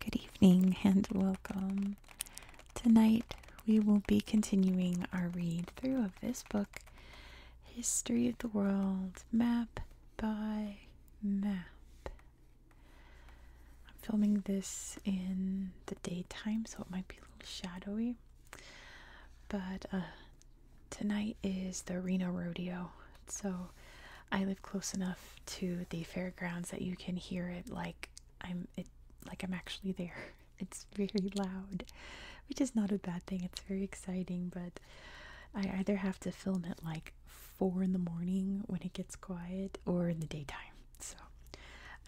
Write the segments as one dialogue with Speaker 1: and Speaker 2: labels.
Speaker 1: Good evening and welcome. Tonight we will be continuing our read through of this book, History of the World, Map by Map. I'm filming this in the daytime, so it might be a little shadowy. But uh, tonight is the Reno Rodeo, so I live close enough to the fairgrounds that you can hear it like I'm it like I'm actually there. It's very loud, which is not a bad thing. It's very exciting, but I either have to film it like four in the morning when it gets quiet or in the daytime. So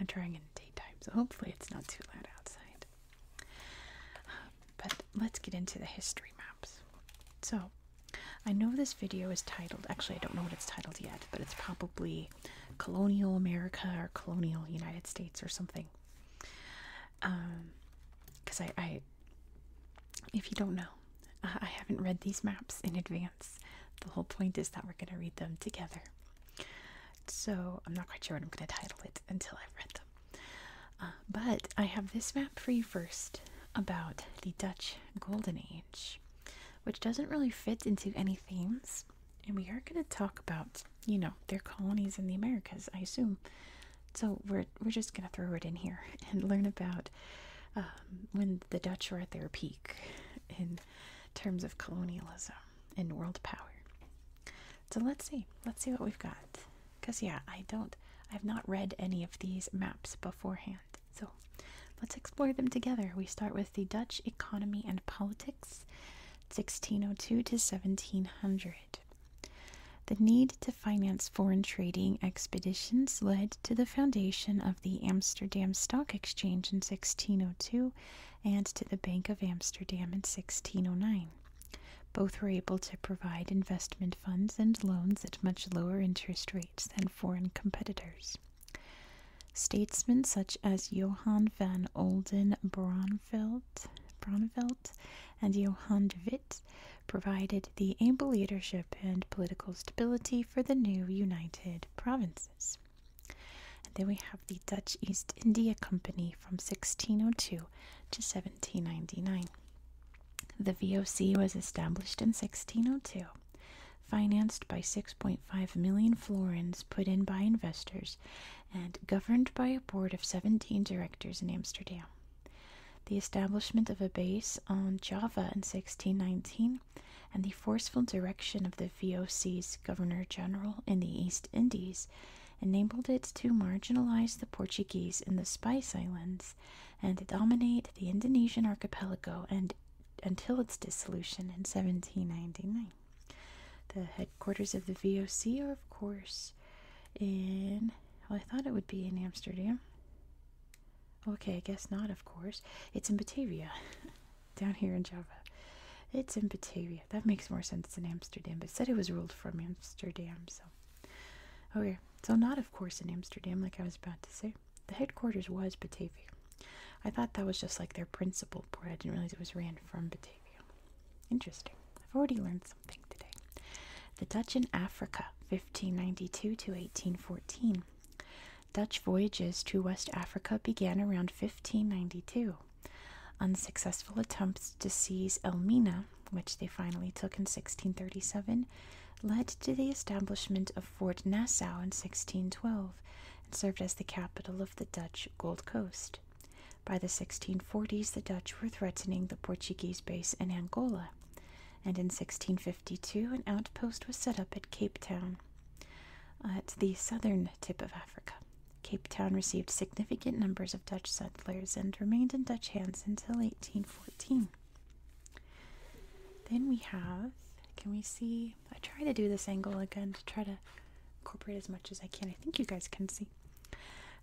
Speaker 1: I'm trying in the daytime, so hopefully it's not too loud outside. but let's get into the history maps. So I know this video is titled, actually, I don't know what it's titled yet, but it's probably Colonial America or Colonial United States or something. Because um, I, I if you don't know, uh, I haven't read these maps in advance. The whole point is that we're going to read them together. So I'm not quite sure what I'm going to title it until I've read them. Uh, but I have this map for you first about the Dutch Golden Age, which doesn't really fit into any themes. And we are going to talk about, you know, their colonies in the Americas, I assume. So we're, we're just going to throw it in here and learn about um, when the Dutch were at their peak in terms of colonialism and world power. So let's see. Let's see what we've got. Because, yeah, I don't, I've not read any of these maps beforehand. So let's explore them together. We start with the Dutch economy and politics, 1602 to 1700. The need to finance foreign trading expeditions led to the foundation of the Amsterdam Stock Exchange in 1602 and to the Bank of Amsterdam in 1609. Both were able to provide investment funds and loans at much lower interest rates than foreign competitors. Statesmen such as Johan van Olden Braunveld, and Johan de Witt provided the able leadership and political stability for the new United Provinces. And then we have the Dutch East India Company from 1602 to 1799. The VOC was established in 1602, financed by 6.5 million florins put in by investors, and governed by a board of 17 directors in Amsterdam. The establishment of a base on Java in 1619 and the forceful direction of the VOC's Governor General in the East Indies enabled it to marginalize the Portuguese in the Spice Islands and dominate the Indonesian archipelago and until its dissolution in 1799. The headquarters of the VOC are, of course, in. Well, I thought it would be in Amsterdam. Okay, I guess not, of course. It's in Batavia, down here in Java. It's in Batavia. That makes more sense than Amsterdam, but said it was ruled from Amsterdam, so. Okay, so not, of course, in Amsterdam, like I was about to say. The headquarters was Batavia. I thought that was just like their principal port. I didn't realize it was ran from Batavia. Interesting. I've already learned something today. The Dutch in Africa, 1592 to 1814. Dutch voyages to West Africa began around 1592. Unsuccessful attempts to seize Elmina, which they finally took in 1637, led to the establishment of Fort Nassau in 1612 and served as the capital of the Dutch Gold Coast. By the 1640s, the Dutch were threatening the Portuguese base in Angola and in 1652 an outpost was set up at Cape Town. At the southern tip of Africa, Cape Town received significant numbers of Dutch settlers and remained in Dutch hands until 1814. Then we have, can we see? I try to do this angle again to try to incorporate as much as I can. I think you guys can see.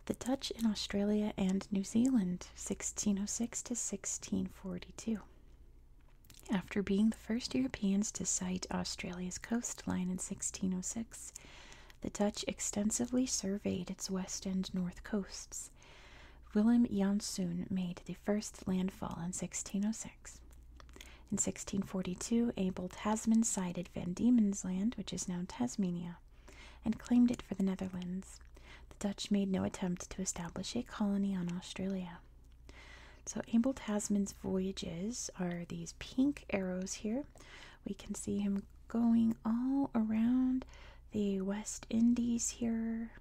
Speaker 1: The Dutch in Australia and New Zealand, 1606 to 1642. After being the first Europeans to sight Australia's coastline in 1606, the Dutch extensively surveyed its west and north coasts. Willem Janszoon made the first landfall in 1606. In 1642, Abel Tasman sighted Van Diemen's Land, which is now Tasmania, and claimed it for the Netherlands. The Dutch made no attempt to establish a colony on Australia. So, Abel Tasman's voyages are these pink arrows here. We can see him going all around the West Indies here,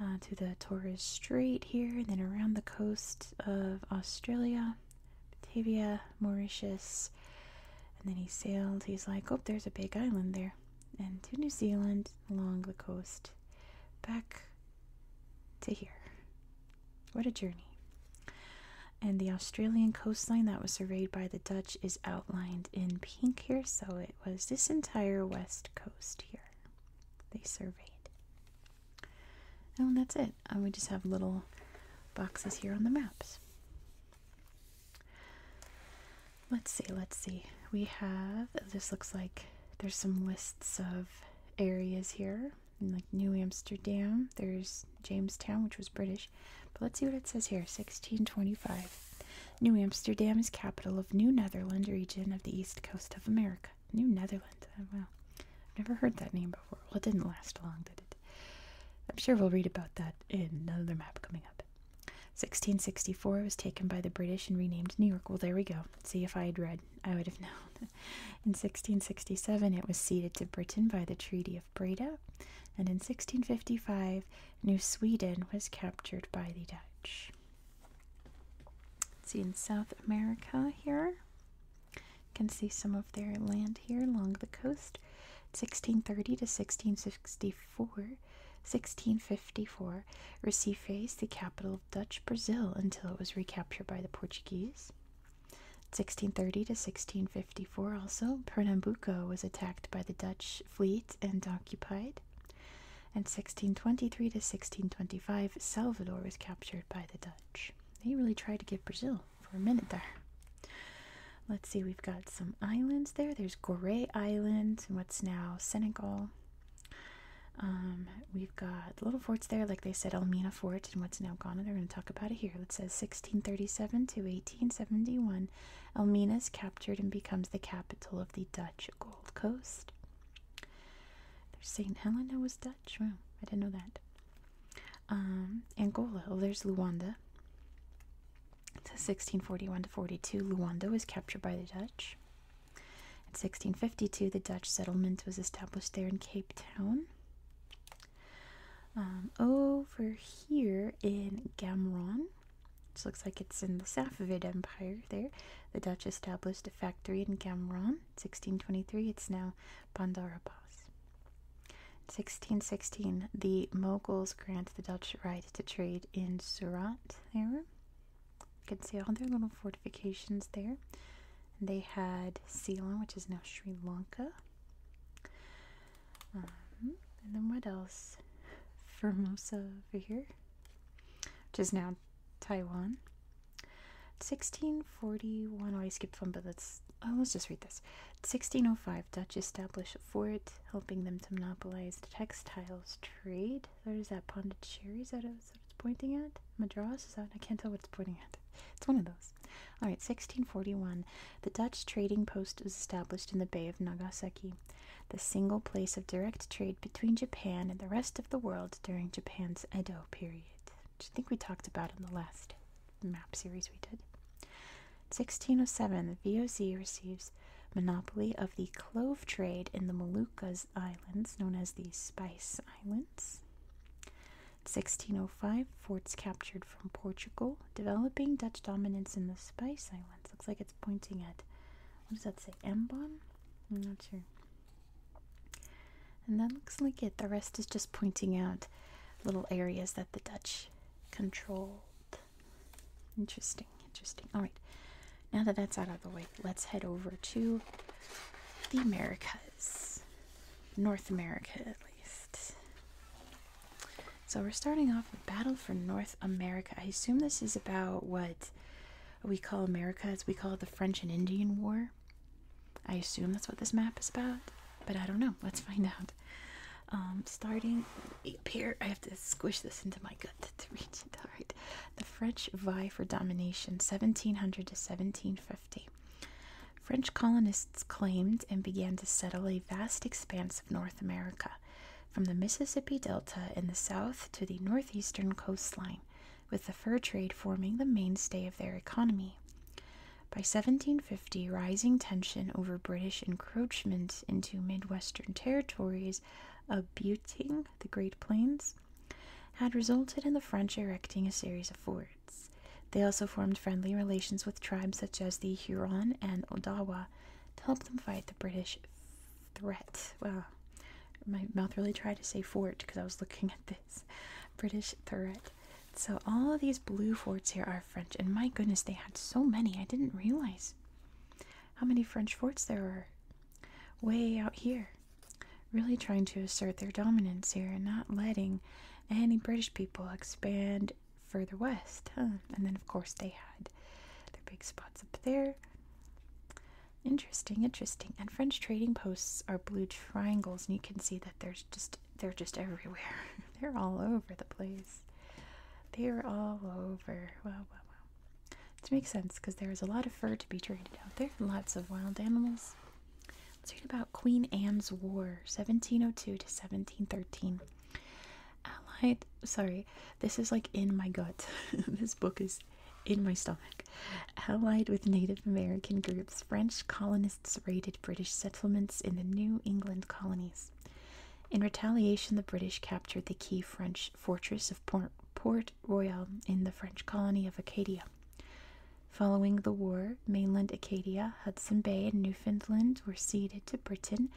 Speaker 1: uh, to the Torres Strait here, and then around the coast of Australia, Batavia, Mauritius. And then he sailed, he's like, oh, there's a big island there. And to New Zealand along the coast back to here. What a journey. And the Australian coastline that was surveyed by the Dutch is outlined in pink here, so it was this entire west coast here they surveyed. Oh, and that's it. And uh, we just have little boxes here on the maps. Let's see, let's see. We have, this looks like there's some lists of areas here, like New Amsterdam, there's Jamestown, which was British. But let's see what it says here 1625. New Amsterdam is capital of New Netherland region of the east coast of America. New Netherland, oh, wow. I've never heard that name before. Well, it didn't last long, did it? I'm sure we'll read about that in another map coming up. 1664 was taken by the British and renamed New York. Well, there we go. See if I had read, I would have known. in 1667, it was ceded to Britain by the Treaty of Breda, and in 1655, New Sweden was captured by the Dutch. see in South America here. You can see some of their land here along the coast. 1630 to 1664, 1654, Recife is the capital Dutch Brazil until it was recaptured by the Portuguese. 1630 to 1654 also, Pernambuco was attacked by the Dutch fleet and occupied. And 1623 to 1625, Salvador was captured by the Dutch. They really tried to get Brazil for a minute there. Let's see, we've got some islands there. There's Gray Island and what's now Senegal. Um, we've got little forts there, like they said, Elmina Fort and what's now Ghana. They're going to talk about it here. It says 1637 to 1871, Elmina is captured and becomes the capital of the Dutch Gold Coast. St. Helena was Dutch. Wow, I didn't know that. Um, Angola. Oh, there's Luanda. It says 1641 to 42. Luanda was captured by the Dutch. In 1652, the Dutch settlement was established there in Cape Town. Um, over here in Gamron, which looks like it's in the Safavid Empire there, the Dutch established a factory in Gamron. 1623, it's now Bandar Abbas. 1616, the Moguls grant the Dutch right to trade in Surat there. You can see all their little fortifications there. And they had Ceylon, which is now Sri Lanka. Um, and then what else? Formosa over here, which is now Taiwan. 1641. Oh, I skipped one, but let's oh, let's just read this. 1605. Dutch established a fort, helping them to monopolize textiles trade. There's that Pondicherry. Is out of what it's pointing at? Madras? Is that? I can't tell what it's pointing at. It's one of those. All right, 1641. The Dutch trading post was established in the Bay of Nagasaki, the single place of direct trade between Japan and the rest of the world during Japan's Edo period, Do you think we talked about in the last map series we did. 1607. The VOC receives monopoly of the clove trade in the Molucca Islands, known as the Spice Islands. 1605, forts captured from Portugal, developing Dutch dominance in the Spice Islands. Looks like it's pointing at, what does that say, Ambon? I'm not sure. And that looks like it. The rest is just pointing out little areas that the Dutch controlled. Interesting, interesting. All right. Now that that's out of the way, let's head over to the Americas. North America, at least. So we're starting off with Battle for North America. I assume this is about what we call America, as we call it the French and Indian War. I assume that's what this map is about, but I don't know. Let's find out. Um, starting up here, I have to squish this into my gut to reach it. All right. The French vie for domination, 1700 to 1750. French colonists claimed and began to settle a vast expanse of North America, from the Mississippi Delta in the south to the northeastern coastline, with the fur trade forming the mainstay of their economy. By 1750, rising tension over British encroachment into Midwestern territories, abutting the Great Plains, had resulted in the French erecting a series of forts. They also formed friendly relations with tribes such as the Huron and Odawa to help them fight the British threat. Well, my mouth really tried to say fort because I was looking at this British threat. So, all of these blue forts here are French, and my goodness, they had so many. I didn't realize how many French forts there were way out here really trying to assert their dominance here and not letting any British people expand further west. And then, of course, they had their big spots up there. Interesting, interesting. And French trading posts are blue triangles, and you can see that there's just they're just everywhere. they're all over the place. They're all over. Wow, wow, wow. It makes sense because there is a lot of fur to be traded out there, lots of wild animals. Let's read about Queen Anne's War, 1702 to 1713. Allied, sorry, this is like in my gut. this book is in my stomach. Allied with Native American groups, French colonists raided British settlements in the New England colonies. In retaliation, the British captured the key French fortress of Port, Port Royal in the French colony of Acadia. Following the war, mainland Acadia, Hudson Bay, and Newfoundland were ceded to Britain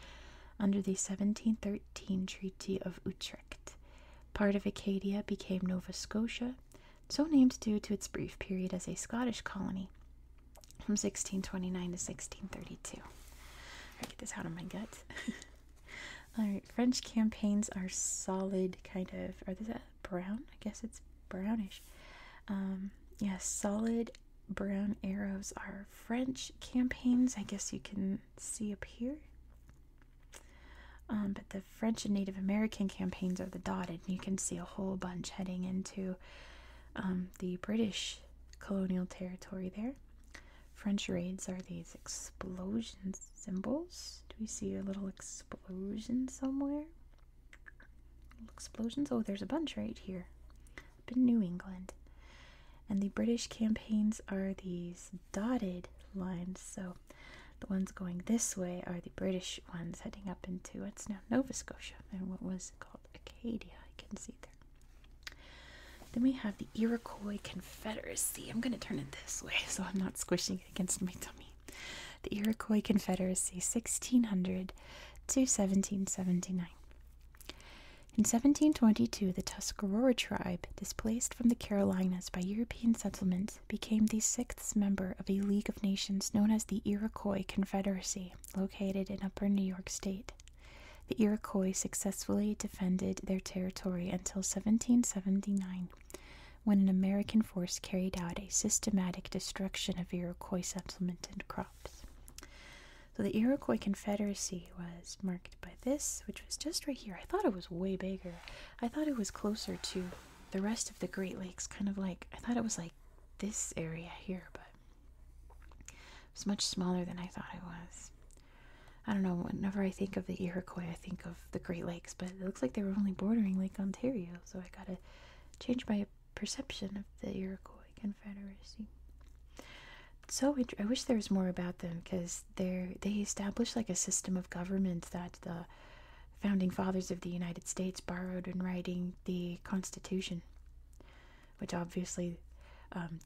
Speaker 1: under the 1713 Treaty of Utrecht. Part of Acadia became Nova Scotia, so named due to its brief period as a Scottish colony from 1629 to 1632. I get this out of my gut. All right, French campaigns are solid, kind of. Are they brown? I guess it's brownish. Um, yes, solid brown arrows are French campaigns. I guess you can see up here. Um, but the French and Native American campaigns are the dotted, you can see a whole bunch heading into um, the British colonial territory there. French raids are these explosions symbols. Do we see a little explosion somewhere? Little explosions? Oh, there's a bunch right here in New England. And the British campaigns are these dotted lines. So the ones going this way are the British ones heading up into what's now Nova Scotia and what was called Acadia. I can see there. Then we have the Iroquois Confederacy. I'm going to turn it this way so I'm not squishing against my tummy. The Iroquois Confederacy, 1600 to 1779. In 1722, the Tuscarora tribe, displaced from the Carolinas by European settlement, became the sixth member of a League of Nations known as the Iroquois Confederacy, located in upper New York State. The Iroquois successfully defended their territory until 1779, when an American force carried out a systematic destruction of Iroquois settlement and crops. So the Iroquois Confederacy was marked by this, which was just right here. I thought it was way bigger. I thought it was closer to the rest of the Great Lakes, kind of like I thought it was like this area here, but it was much smaller than I thought it was. I don't know, whenever I think of the Iroquois, I think of the Great Lakes, but it looks like they were only bordering Lake Ontario, so I gotta change my perception of the Iroquois Confederacy. So I wish there was more about them because they they established like a system of government that the founding fathers of the United States borrowed in writing the Constitution, which obviously um,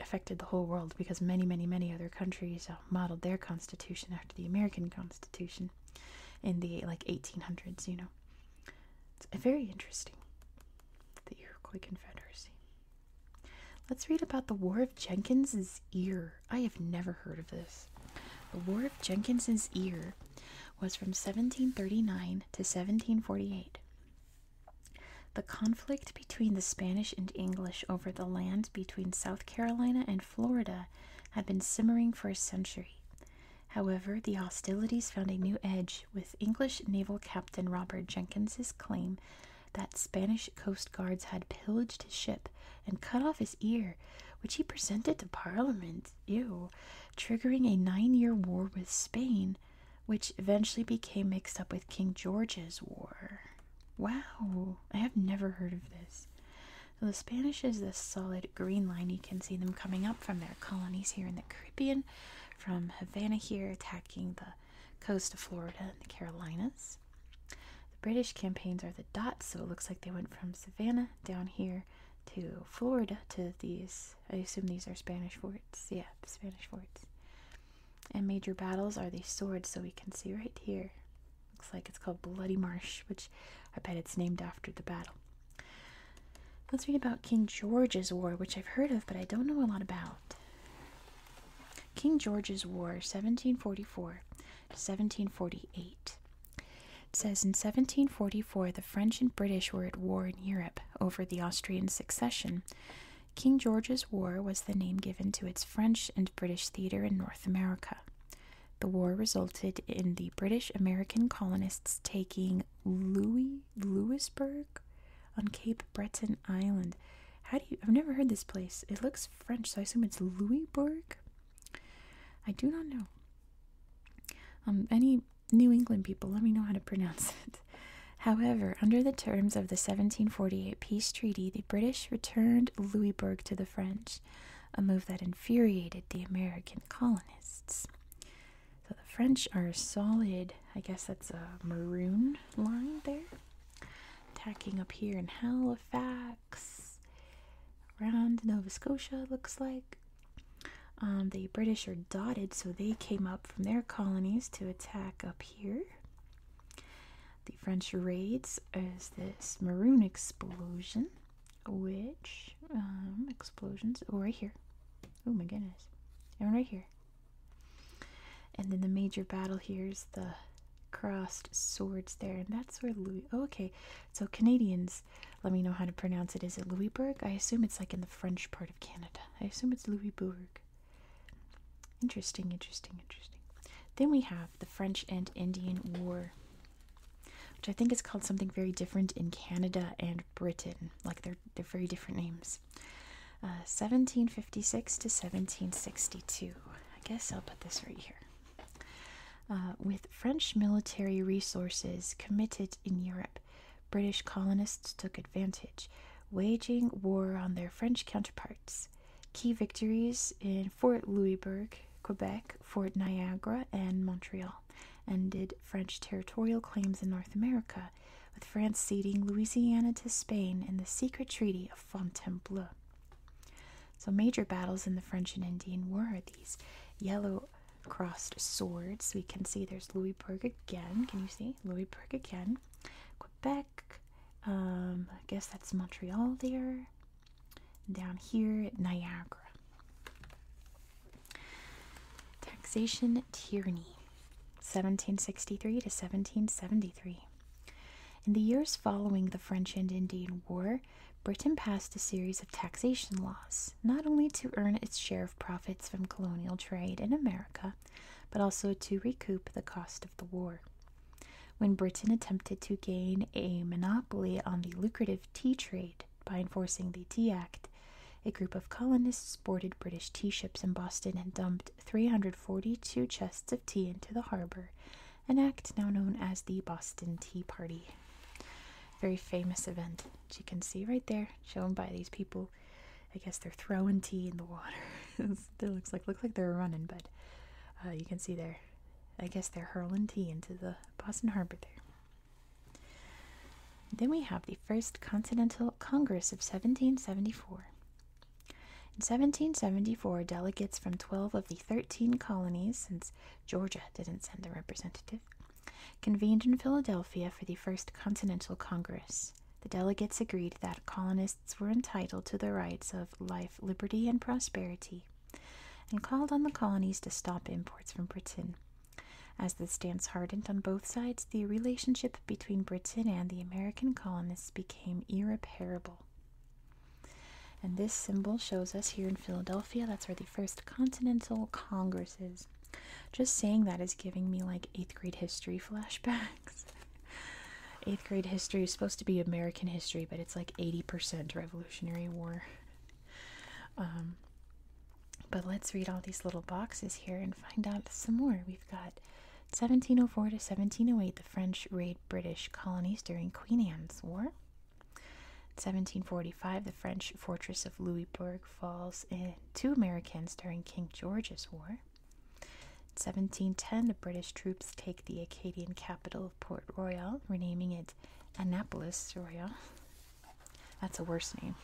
Speaker 1: affected the whole world because many, many, many other countries uh, modeled their constitution the American Constitution in the like 1800s, you know. It's very interesting. The Iroquois Confederacy. Let's read about the War of Jenkins's Ear. I have never heard of this. The War of Jenkins's Ear was from 1739 to 1748. The conflict between the Spanish and English over the land between South Carolina and Florida had been simmering for a century. However, the hostilities found a new edge with English naval captain Robert Jenkins's claim that Spanish coast guards had pillaged his ship and cut off his ear, which he presented to Parliament, ew, triggering a nine-year war with Spain, which eventually became mixed up with King George's War. Wow, I have never heard of this. the Spanish is this solid green line. You can see them coming up from their colonies here in the Caribbean, from Havana here, attacking the coast of Florida and the Carolinas. The British campaigns are the dots, so it looks like they went from Savannah down here to Florida to these. I assume these are Spanish forts. Yeah, Spanish forts. And major battles are these swords, so we can see right here Looks like it's called Bloody Marsh, which I bet it's named after the battle. Let's read about King George's War, which I've heard of, but I don't know a lot about. King George's War, 1744 1748. It says in 1744 the French and British were at war in Europe over the Austrian succession. King George's War was the name given to its French and British theater in North America. The war resulted in the British American colonists taking Louis Louisburg on Cape Breton Island. How do you I've never heard this place. It looks French, so I assume it's Louisburg. I do not know. Um, any New England people, let me know how to pronounce it. However, under the terms of the 1748 peace treaty, the British returned Louisburg to the French a move that infuriated the American colonists. So the French are solid, I guess that's a maroon line there, tacking up here in Halifax, around Nova Scotia, looks like. Um, the British are dotted, so they came up from their colonies to attack up here. The French raids is this maroon explosion, which um, explosions oh right here, oh my goodness, and right here, and then the major battle here is the crossed swords there, and that's where Louis. Oh, okay, so Canadians, let me know how to pronounce it. Is it Louisbourg? I assume it's like in the French part of Canada. I assume it's Louisbourg. Interesting, interesting, interesting. Then we have the French and Indian War, which I think is called something very different in Canada and Britain. Like they're they're very different names. 1756 uh, to 1762. I guess I'll put this right here. Uh, with French military resources committed in Europe, British colonists took advantage, waging war on their French counterparts key victories in Fort Louisbourg, Quebec, Fort Niagara, and Montreal, ended French territorial claims in North America, with France ceding Louisiana to Spain in the secret Treaty of Fontainebleau. So, major battles in the French and Indian War are these yellow crossed swords. We can see there's Louisbourg again. Can you see? Louisbourg again. Quebec. Um, I guess that's Montreal there. Down here Niagara. Taxation tyranny, 1763 to 1773. In the years following the French and Indian War, Britain passed a series of taxation laws, not only to earn its share of profits from colonial trade in America, but also to recoup the cost of the war. When Britain attempted to gain a monopoly on the lucrative tea trade by enforcing the Tea Act, a group of colonists boarded British tea ships in Boston and dumped 342 chests of tea into the harbor, an act now known as the Boston Tea Party. Very famous event, which you can see right there, shown by these people. I guess they're throwing tea in the water. it looks like looks like they're running, but uh, you can see there I guess they're hurling tea into the Boston Harbor there. Then we have the First Continental Congress of 1774. In 1774, delegates from 12 of the 13 colonies, since Georgia didn't send a representative, convened in Philadelphia for the First Continental Congress. The delegates agreed that colonists were entitled to the rights of life, liberty, and prosperity, and called on the colonies to stop imports from Britain. As the stance hardened on both sides, the relationship between Britain and the American colonists became irreparable. And this symbol shows us here in Philadelphia, that's where the first Continental Congress is. Just saying that is giving me like eighth grade history flashbacks eighth grade history is supposed to be American history, but it's like 80% Revolutionary War. Um, but let's read all these little boxes here and find out some more. We've got 1704 to 1708, the French raid British colonies during Queen Anne's War. 1745, the French fortress of Louisbourg falls in to Americans during King George's War. 1710, the British troops take the Acadian capital of Port Royal, renaming it Annapolis Royal. That's a worse name.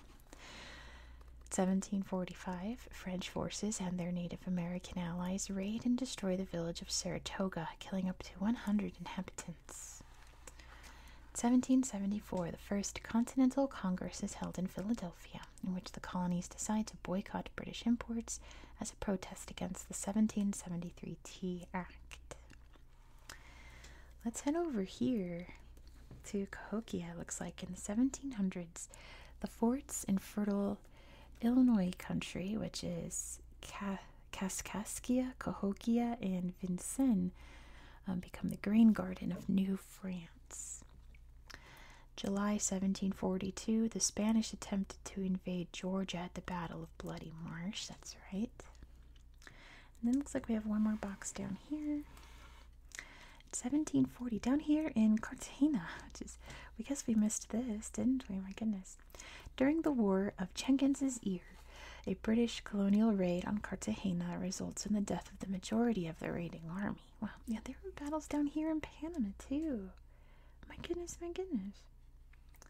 Speaker 1: 1745, French forces and their Native American allies raid and destroy the village of Saratoga, killing up to 100 inhabitants. 1774, the first Continental Congress is held in Philadelphia, in which the colonies decide to boycott British imports as protest against the 1773 Tea Act. Let's head over here to Cahokia, looks like in the 1700s. The forts in fertile Illinois country, which is Kaskaskia, Cahokia, and Vincennes, um, become the grain garden of New France. July 1742, the Spanish attempt to invade Georgia at the Battle of Bloody Marsh. That's right. then looks like we have one more box down here. 1740 down here in Cartagena, which is we guess we missed this, didn't we? My goodness. During the War of Jenkins's Ear, a British colonial raid on Cartagena results in the death of the majority of the raiding army. Wow, yeah, there were battles down here in Panama too. My goodness, my goodness.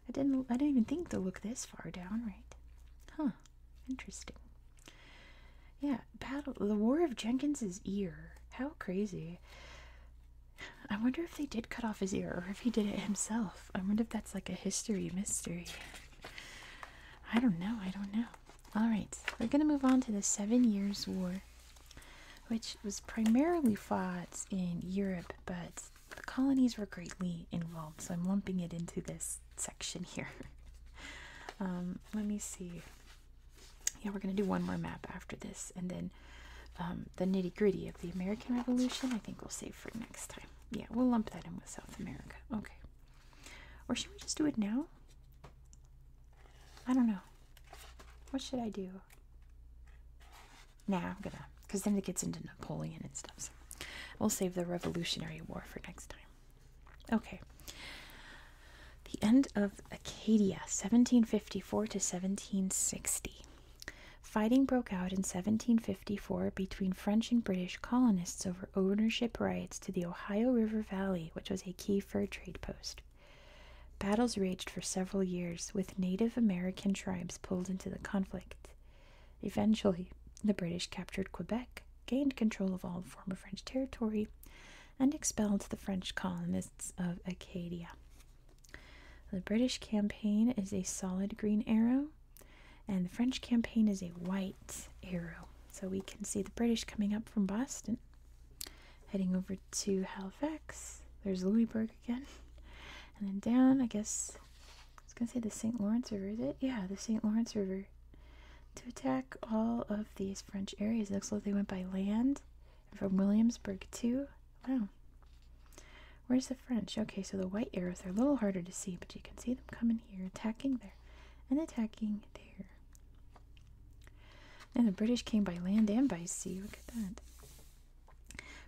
Speaker 1: I didn't I didn't even think they looked this far down, right? Huh. Interesting. Yeah, battle the War of Jenkins's ear. How crazy. I wonder if they did cut off his ear or if he did it himself. I wonder if that's like a history mystery. I don't know. I don't know. All right, we're going to move on to the Seven Years' War, which was primarily fought in Europe, but the colonies were greatly involved, so I'm lumping it into this section here. Um, let me see. Yeah, we're going to do one more map after this, and then um, the nitty gritty of the American Revolution, I think we'll save for next time. Yeah, we'll lump that in with South America. Okay. Or should we just do it now? I don't know. What should I do? Now I'm gonna, because then it gets into Napoleon and stuff. we'll save the Revolutionary War for next time. Okay. The end of Acadia, 1754 to 1760. Fighting broke out in 1754 between French and British colonists over ownership rights to the Ohio River Valley, which was a key fur trade post. Battles raged for several years, with Native American tribes pulled into the conflict. Eventually, the British captured Quebec, gained control of all former French territory, and expelled the French colonists of Acadia. The British campaign is a solid green arrow, and the French campaign is a white arrow. So we can see the British coming up from Boston, heading over to Halifax. There's Louisbourg again, and then down, I guess, I was gonna say the St. Lawrence River, is it? Yeah, the St. Lawrence River. To attack all of these French areas. looks like they went by land from Williamsburg, too. Wow. Where's the French? Okay, so the white arrows are a little harder to see, but you can see them coming here, attacking there, and attacking there. And the British came by land and by sea. Look at that.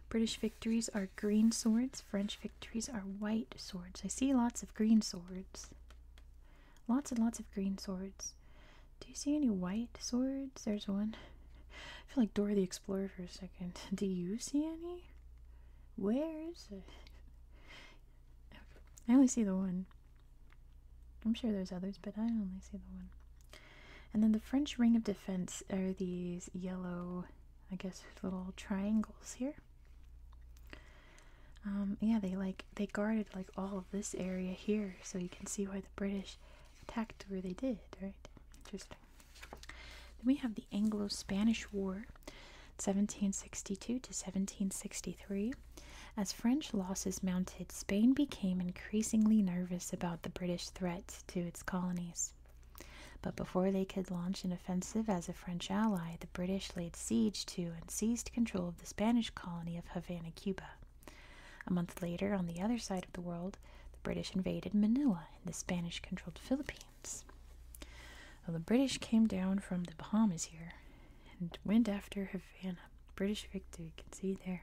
Speaker 1: British victories are green swords, French victories are white swords. I see lots of green swords. Lots and lots of green swords. Do you see any white swords? There's one. I feel like Dora the Explorer for a second. Do you see any? Where is it? I only see the one. I'm sure there's others, but I only see the one. And then the French ring of defense are these yellow I guess little triangles here. Um, yeah, they like they guarded like all of this area here, so you can see why the British attacked where they did, right? Interesting. Then we have the Anglo-Spanish War, 1762 to 1763. As French losses mounted, Spain became increasingly nervous about the British threat to its colonies. But before they could launch an offensive as a French ally, the British laid siege to and seized control of the Spanish colony of Havana, Cuba. A month later, on the other side of the world, the British invaded Manila in the Spanish controlled Philippines. Well, the British came down from the Bahamas here and went after Havana. British victory, you can see there.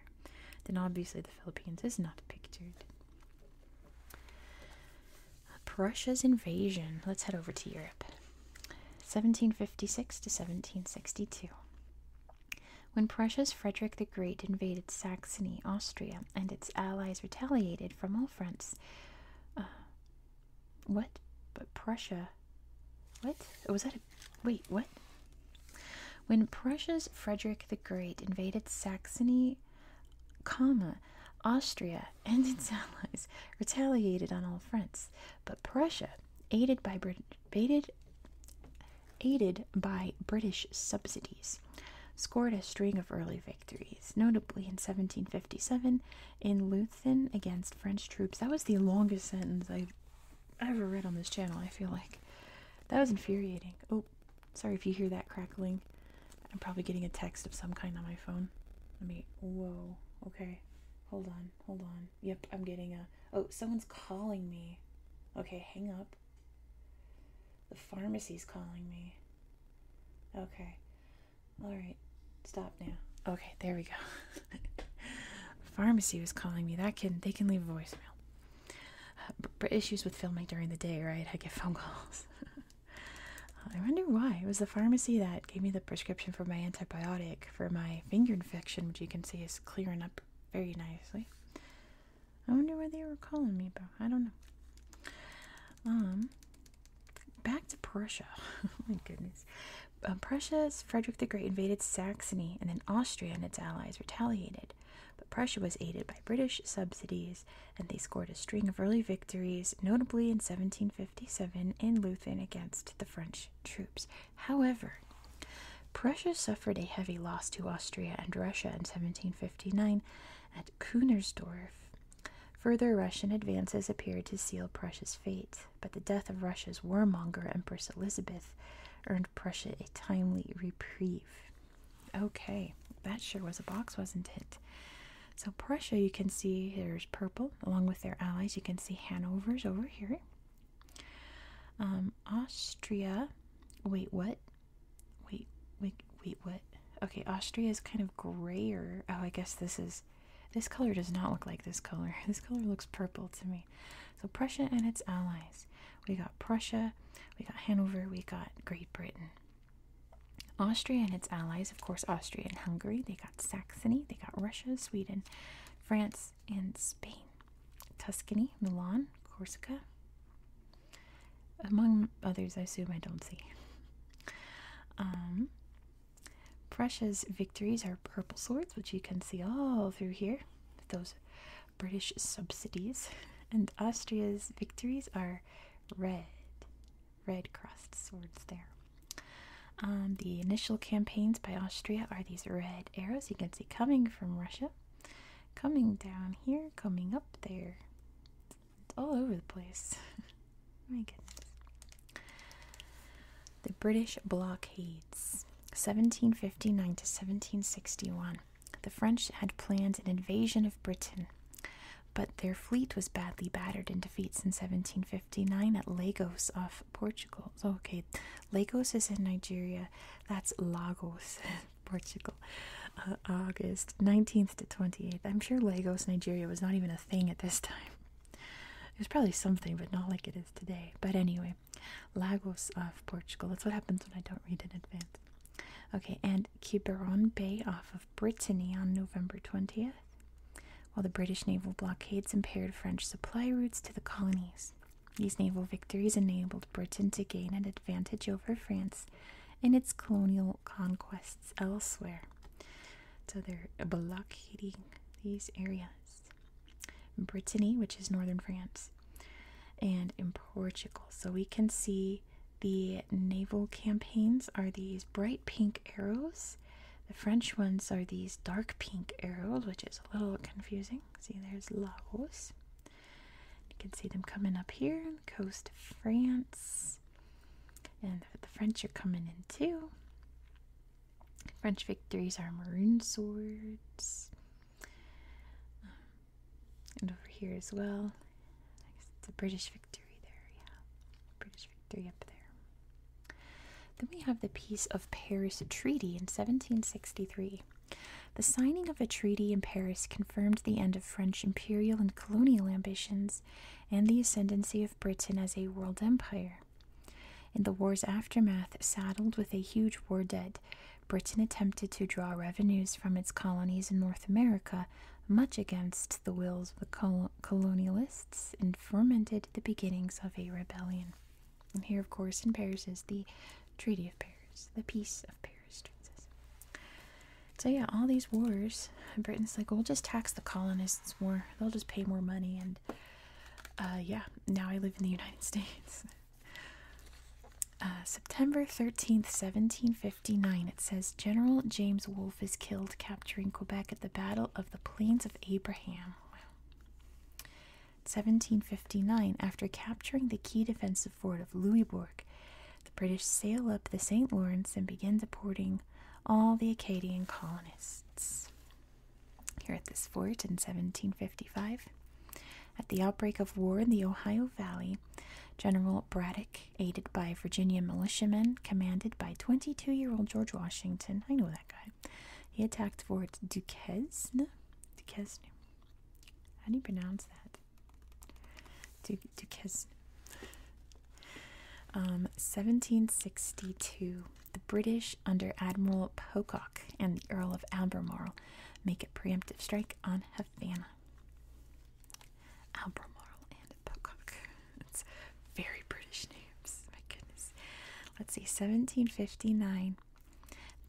Speaker 1: Then obviously the Philippines is not pictured. Prussia's invasion. Let's head over to Europe. 1756 to 1762. When Prussia's Frederick the Great invaded Saxony, Austria, and its allies retaliated from all fronts, uh, what? But Prussia. What? Oh, was that Wait, what? When Prussia's Frederick the Great invaded Saxony, Austria and its allies retaliated on all fronts, but Prussia, aided by British subsidies, scored a string of early victories, notably in 1757 in Leuthen against French troops. That was the longest sentence I've ever read on this channel, I feel like. That was infuriating sorry if you hear that crackling. I'm probably getting a text of some kind on my phone. Let me. Whoa. Okay. Hold on. Hold on. Yep, I'm getting a. Oh, someone's calling me. Okay, hang up. The pharmacy's calling me. Okay. All right. Stop now. Okay, there we go. Pharmacy was calling me. That can they can leave a voicemail. Uh, issues with filming during the day, right? I get phone calls. I wonder why. It was the pharmacy that gave me the prescription for my antibiotic for my finger infection, which you can see is clearing up very nicely. I wonder why they were calling me about. I don't know. Um, back to Prussia. oh my goodness. Uh, Prussia's Frederick the Great invaded Saxony, and then Austria and its allies retaliated. But Prussia was aided by British subsidies and they scored a string of early victories, notably in 1757 in Leuthen against the French troops. However, Prussia suffered a heavy loss to Austria and Russia in 1759 at Kunersdorf. Further Russian advances appeared to seal Prussia's fate, but the death of Russia's warmonger Empress Elizabeth earned Prussia a timely reprieve. Okay, that sure was a box, wasn't it? So, Prussia, you can see here's purple along with their allies. You can see Hanover's over here. Um, Austria, wait, what? Wait, wait, wait, what? Okay, Austria is kind of grayer. Oh, I guess this is this color does not look like this color. This color looks purple to me. So, Prussia and its allies. We got Prussia, we got Hanover, we got Great Britain. Austria and its allies, of course, Austria and Hungary, they got Saxony, they got Russia, Sweden, France, and Spain, Tuscany, Milan, Corsica, among others, I assume I don't see. Um, Prussia's victories are purple swords, which you can see all through here, those British subsidies, and Austria's victories are red, red crossed swords there. Um, the initial campaigns by Austria are these red arrows you can see coming from Russia, coming down here, coming up there. It's all over the place. My goodness. The British blockades, 1759 to 1761. The French had planned an invasion of Britain but their fleet was badly battered in defeats in 1759 at Lagos off Portugal. Oh, okay, Lagos is in Nigeria. That's Lagos, Portugal. Uh, August 19th to 28th. I'm sure Lagos, Nigeria was not even a thing at this time. It was probably something, but not like it is today. But anyway, Lagos off Portugal. That's what happens when I don't read in advance. Okay, and Quiberon Bay off of Brittany on November 20th, while the British naval blockades impaired French supply routes to the colonies. These naval victories enabled Britain to gain an advantage over France in its colonial conquests elsewhere. So they're blockading these areas. Brittany, which is northern France, and in Portugal. So we can see the naval campaigns are these bright pink arrows. The French ones are these dark pink arrows, which is a little confusing. See, there's Laos. You can see them coming up here coast of France. And the French are coming in too. French victories are maroon swords. Um, and over here as well. It's a British victory victory there, yeah. British victory up there. Then we have the Peace of Paris Treaty in 1763. The signing of a treaty in Paris confirmed the end of French imperial and colonial ambitions and the ascendancy of Britain as a world empire. In the war's aftermath, saddled with a huge war debt, Britain attempted to draw revenues from its colonies in North America much against the wills of the colonialists, and fermented the beginnings of a rebellion. And here, of course, in Paris is the Treaty of Paris, the Peace of Paris. So yeah, all these wars, Britain's like, we'll just tax the colonists more. They'll just pay more money, and uh, yeah, now I live in the United States. Uh, September 13th, 1750 59, it says General James Wolfe is killed capturing Quebec at the Battle of the Plains of Abraham. 1759, after capturing the key defensive fort of Louisbourg, the British sail up the St. Lawrence and begin deporting all the Acadian colonists. Here at this fort in 1755, at the outbreak of war in the Ohio Valley, General Braddock aided by Virginia militiamen commanded by 22 year old George Washington. I know that guy. He attacked Fort Duquesne. Duquesne. How do you pronounce that? Du Duquesne. 1762. Um, the British, under Admiral Pocock and the Earl of Albemarle, make a preemptive strike on Havana. Albemarle and Pocock. It's very British names. My goodness. Let's see. 1759.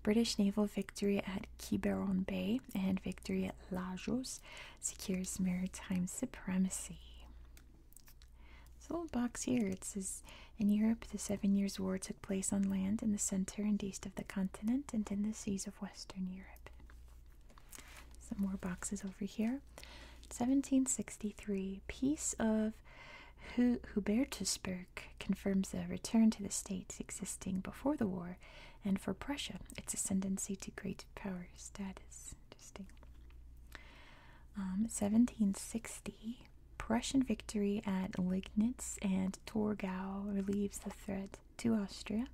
Speaker 1: British naval victory at Quiberon Bay and victory at Lagos secures maritime supremacy. This little box here it says in Europe the Seven Years' War took place on land in the center and east of the continent and in the seas of Western Europe. Some more boxes over here. 1763, Peace of Hu Hubertusburg confirms the return to the states existing before the war and for Prussia its ascendancy to great power status. 1760, um, Prussian victory at Liegnitz and Torgau relieves the threat to Austria.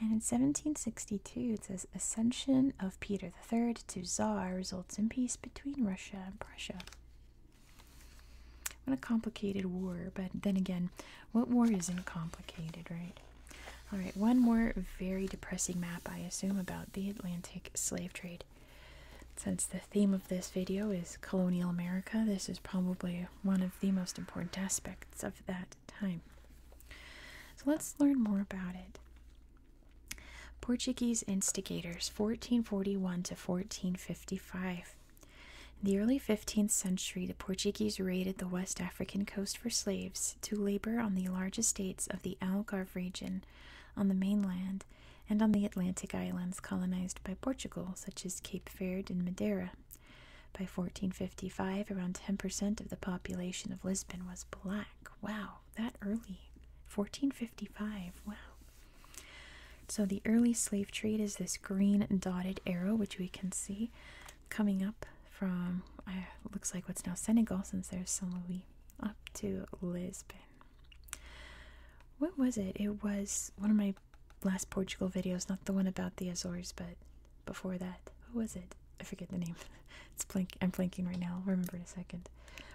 Speaker 1: And in 1762, it says Ascension of Peter III to czar results in peace between Russia and Prussia. What a complicated war, but then again, what war isn't complicated, right? All right, one more very depressing map, I assume, about the Atlantic slave trade. Since the theme of this video is colonial America, this is probably one of the most important aspects of that time. So let's learn more about it. Portuguese instigators, 1441 to 1455. In the early 15th century, the Portuguese raided the West African coast for slaves to labor on the largest estates of the Algarve region on the mainland and on the Atlantic islands colonized by Portugal, such as Cape Verde and Madeira, by 1455, around 10% of the population of Lisbon was black. Wow, that early. 1455, wow. So the early slave trade is this green dotted arrow, which we can see coming up from, uh, looks like what's now Senegal since there's Saint Louis, up to Lisbon. What was it? It was one of my last Portugal videos, not the one about the Azores, but before that. Who was it? I forget the name. it's blank. I'm blanking right now. remember in a second.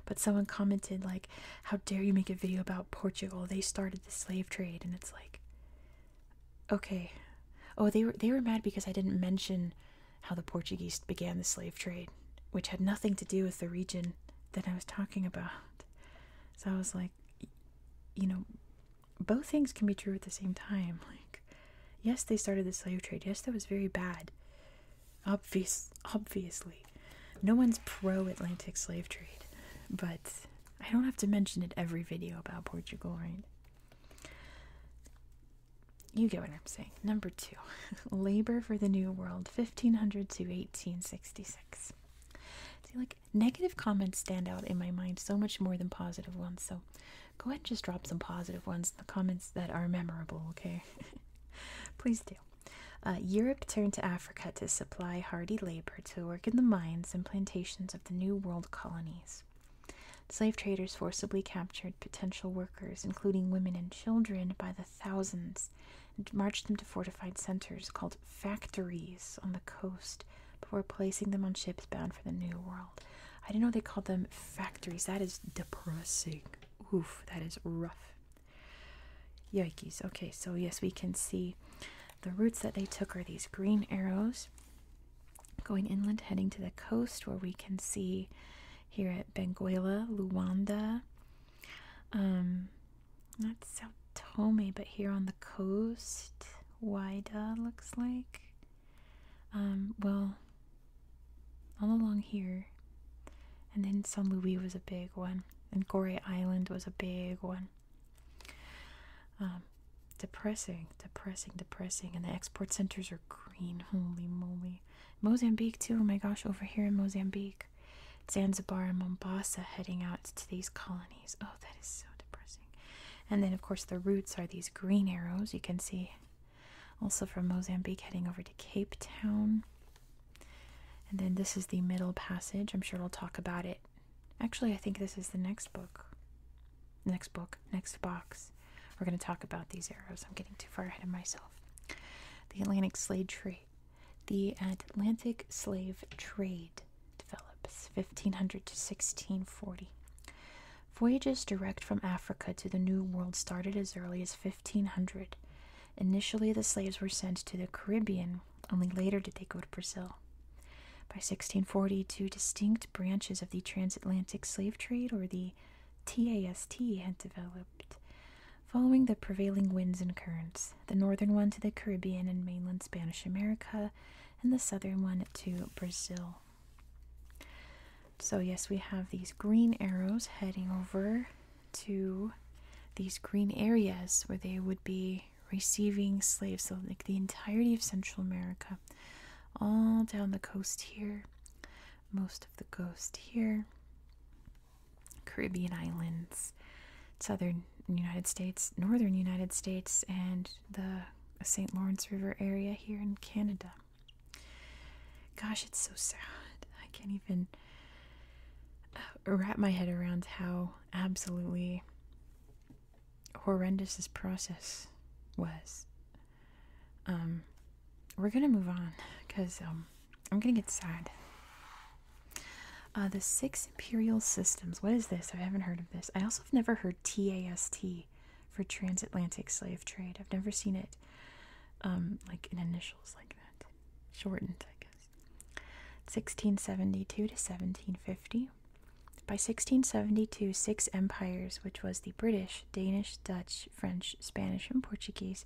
Speaker 1: But someone commented like, "How dare you make a video about Portugal? They started the slave trade." And it's like, okay, oh, they were they were mad because I didn't mention how the Portuguese began the slave trade, which had nothing to do with the region that I was talking about. So I was like, you know, both things can be true at the same time. Like, yes, they started the slave trade. Yes, that was very bad. Obvious, obviously, no one's pro Atlantic slave trade, but I don't have to mention it every video about Portugal, right? You get what I'm saying. Number two, labor for the New World, 1500 to 1866. See, like, negative comments stand out in my mind so much more than positive ones, so Go ahead and just drop some positive ones in the comments that are memorable, okay? Please do. Uh, Europe turned to Africa to supply hardy labor to work in the mines and plantations of the New World colonies. Slave traders forcibly captured potential workers, including women and children, by the thousands and marched them to fortified centers called factories on the coast before placing them on ships bound for the New World. I didn't know they called them factories. That is depressing. Oof, that is rough. Yikes. Okay, so yes, we can see the routes that they took are these green arrows going inland, heading to the coast, where we can see here at Benguela, Luanda. Um, not Sao Tome, but here on the coast, Waida looks like. Um, well, all along here, and then San Luis was a big one, and Goree Island was a big one. Um, depressing, depressing, depressing, and the export centers are green. Holy moly! Mozambique too. Oh my gosh, over here in Mozambique, Zanzibar and Mombasa heading out to these colonies. Oh, that is so depressing. And then, of course, the roots are these green arrows. You can see also from Mozambique, heading over to Cape Town. And then this is the middle passage. I'm sure we'll talk about it. Actually, I think this is the next book. Next book, next box. We're going to talk about these arrows. I'm getting too far ahead of myself. The Atlantic slave trade. The Atlantic slave trade develops 1500 to 1640. Voyages direct from Africa to the New World started as early as 1500. Initially, the slaves were sent to the Caribbean, only later did they go to Brazil. By 1640, two distinct branches of the transatlantic slave trade, or the TAST, had developed. Following the prevailing winds and currents, the northern one to the Caribbean and mainland Spanish America, and the southern one to Brazil. So, yes, we have these green arrows heading over to these green areas where they would be receiving slaves. So, like the entirety of Central America, all down the coast here, most of the coast here, Caribbean islands, southern United States, northern United States, and the St. Lawrence River area here in Canada. Gosh, it's so sad. I can't even uh, wrap my head around how absolutely horrendous this process was. Um, we're gonna move on because um, I'm gonna get sad. Uh, the six imperial systems. What is this? I haven't heard of this. I also have never heard TAST for transatlantic slave trade. I've never seen it um, like in initials like that, shortened, I guess. 1672 to 1750. By 1672, six empires, which was the British, Danish, Dutch, French, Spanish, and Portuguese,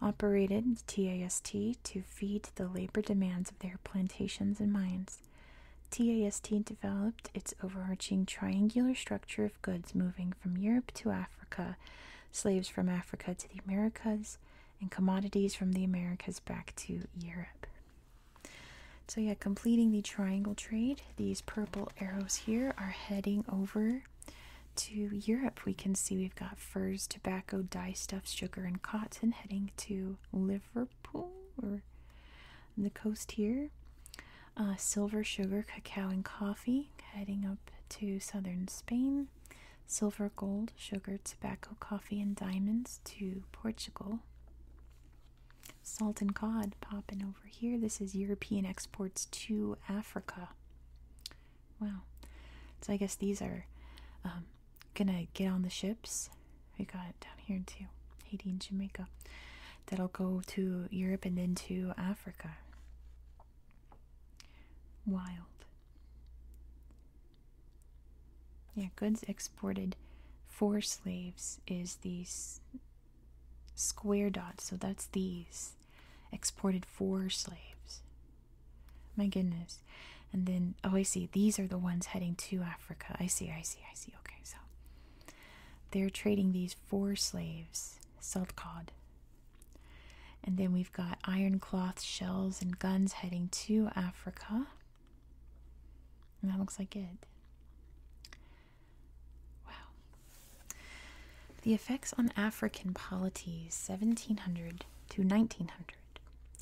Speaker 1: operated TAST to feed the labor demands of their plantations and mines. TAST developed its overarching triangular structure goods moving from Europe to Africa, slaves from Africa to the Americas, and commodities from the Americas back to Europe. So, yeah, completing the triangle trade, these purple arrows here are heading over to Europe. We can see we've got furs, tobacco, dyestuffs, sugar, and cotton heading to Liverpool or the coast here. Uh, silver, sugar, cacao, and coffee, heading up to southern Spain. Silver, gold, sugar, tobacco, coffee, and diamonds to Portugal. Salt and cod popping over here. This is European exports to Africa. Wow. So I guess these are um, gonna get on the ships. We got down here to Haiti and Jamaica that'll go to Europe and then to Africa. Wild. Yeah, goods exported for slaves is these square dots, so that's these exported for slaves. My goodness. And then, oh, I see, these are the ones heading to Africa. I see, I see, I see. Okay, so they're trading these four slaves, Seltcod. And then we've got iron cloth, shells, and guns heading to Africa. And that looks like it. Wow. The effects on African polities, 1700 to 1900.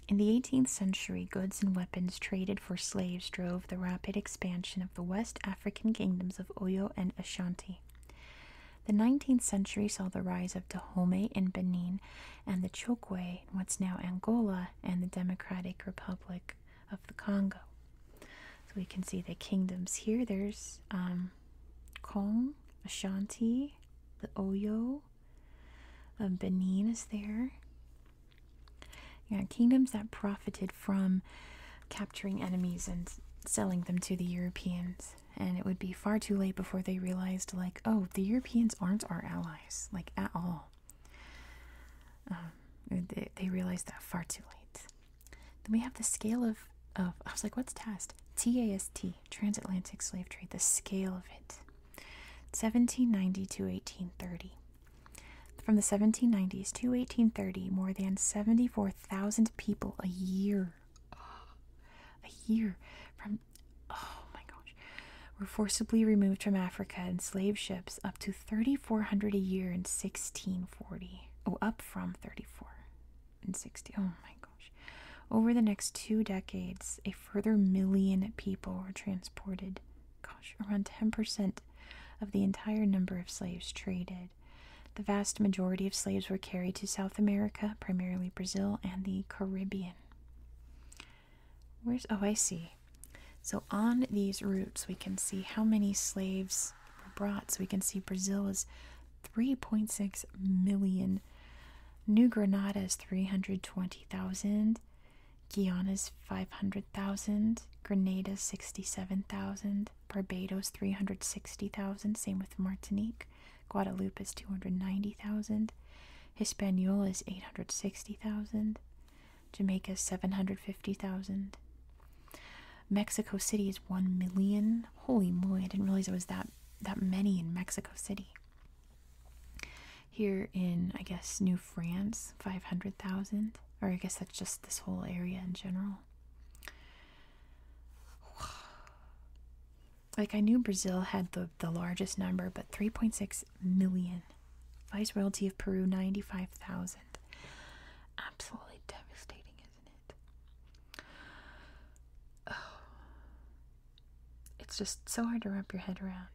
Speaker 1: In the 18th century, goods and weapons traded for slaves drove the rapid expansion of the West African kingdoms of Oyo and Ashanti. The 19th century saw the rise of Dahomey in Benin and the Chokwe in what's now Angola and the Democratic Republic of the Congo. So we can see the kingdoms here. There's um, Kong, Ashanti, the Oyo, um, Benin is there. Yeah, kingdoms that profited from capturing enemies and selling them to the Europeans. And it would be far too late before they realized, like, oh, the Europeans aren't our allies, like, at all. Um, they, they realized that far too late. Then we have the scale of, of I was like, what's TAST? TAST, Transatlantic Slave Trade, the scale of it. 1790 to 1830. From the 1790s to 1830, more than 74,000 people a year, a year from, oh my gosh, were forcibly removed from Africa in slave ships, up to 3,400 a year in 1640. Oh, up from 34 and 60. Oh my gosh. Over the next two decades, a further million people were transported. Gosh, around 10% of the entire number of slaves traded. The vast majority of slaves were carried to South America, primarily Brazil and the Caribbean. Where's oh, I see. So on these routes, we can see how many slaves were brought. So we can see Brazil is 3.6 million, New is 320,000, Guyana's 500,000, Grenada 67,000, Barbados 360,000, same with Martinique. Guadeloupe is 290,000. Hispaniola is 860,000. Jamaica is 750,000. Mexico City is 1 million. Holy moly, I didn't realize it was that that many in Mexico City. Here in I guess New France, 500,000 or I guess that's just this whole area in general. Like I knew Brazil had the, the largest number, but 3.6 million. Vice royalty of Peru 95,000. Absolutely devastating, isn't it? It's just so hard to wrap your head around.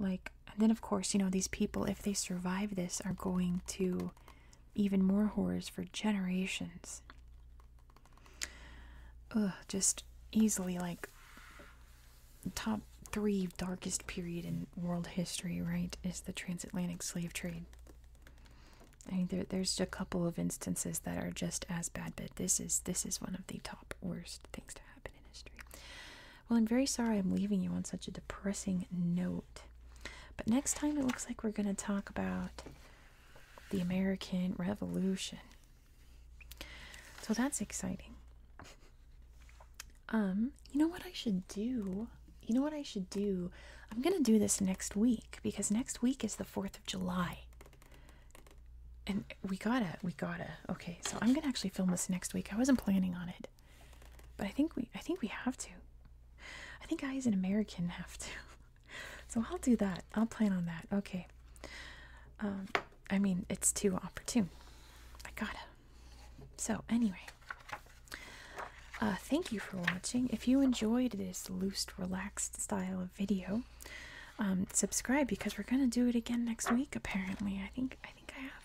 Speaker 1: Like and then, of course, you know, these people, if they survive this, are going to even more horrors for generations. Ugh, just easily like top three darkest period in world history, right? Is the transatlantic slave trade. I mean, there, there's a couple of instances that are just as bad, but this is this is one of the top worst things to happen in history. Well, I'm very sorry I'm leaving you on such a depressing note. But next time it looks like we're going to talk about the American Revolution. So that's exciting. Um, you know what I should do? You know what I should do? I'm going to do this next week because next week is the 4th of July. And we gotta, we gotta. Okay, so I'm gonna actually film this next week. I wasn't planning on it. But I think we I think we have to. I think I as an American have to. so I'll do that. I'll plan on that. Okay. Um I mean it's too opportune. I gotta. So anyway. Uh, thank you for watching. If you enjoyed this loose, relaxed style of video, um, subscribe because we're gonna do it again next week. Apparently, I think I think I have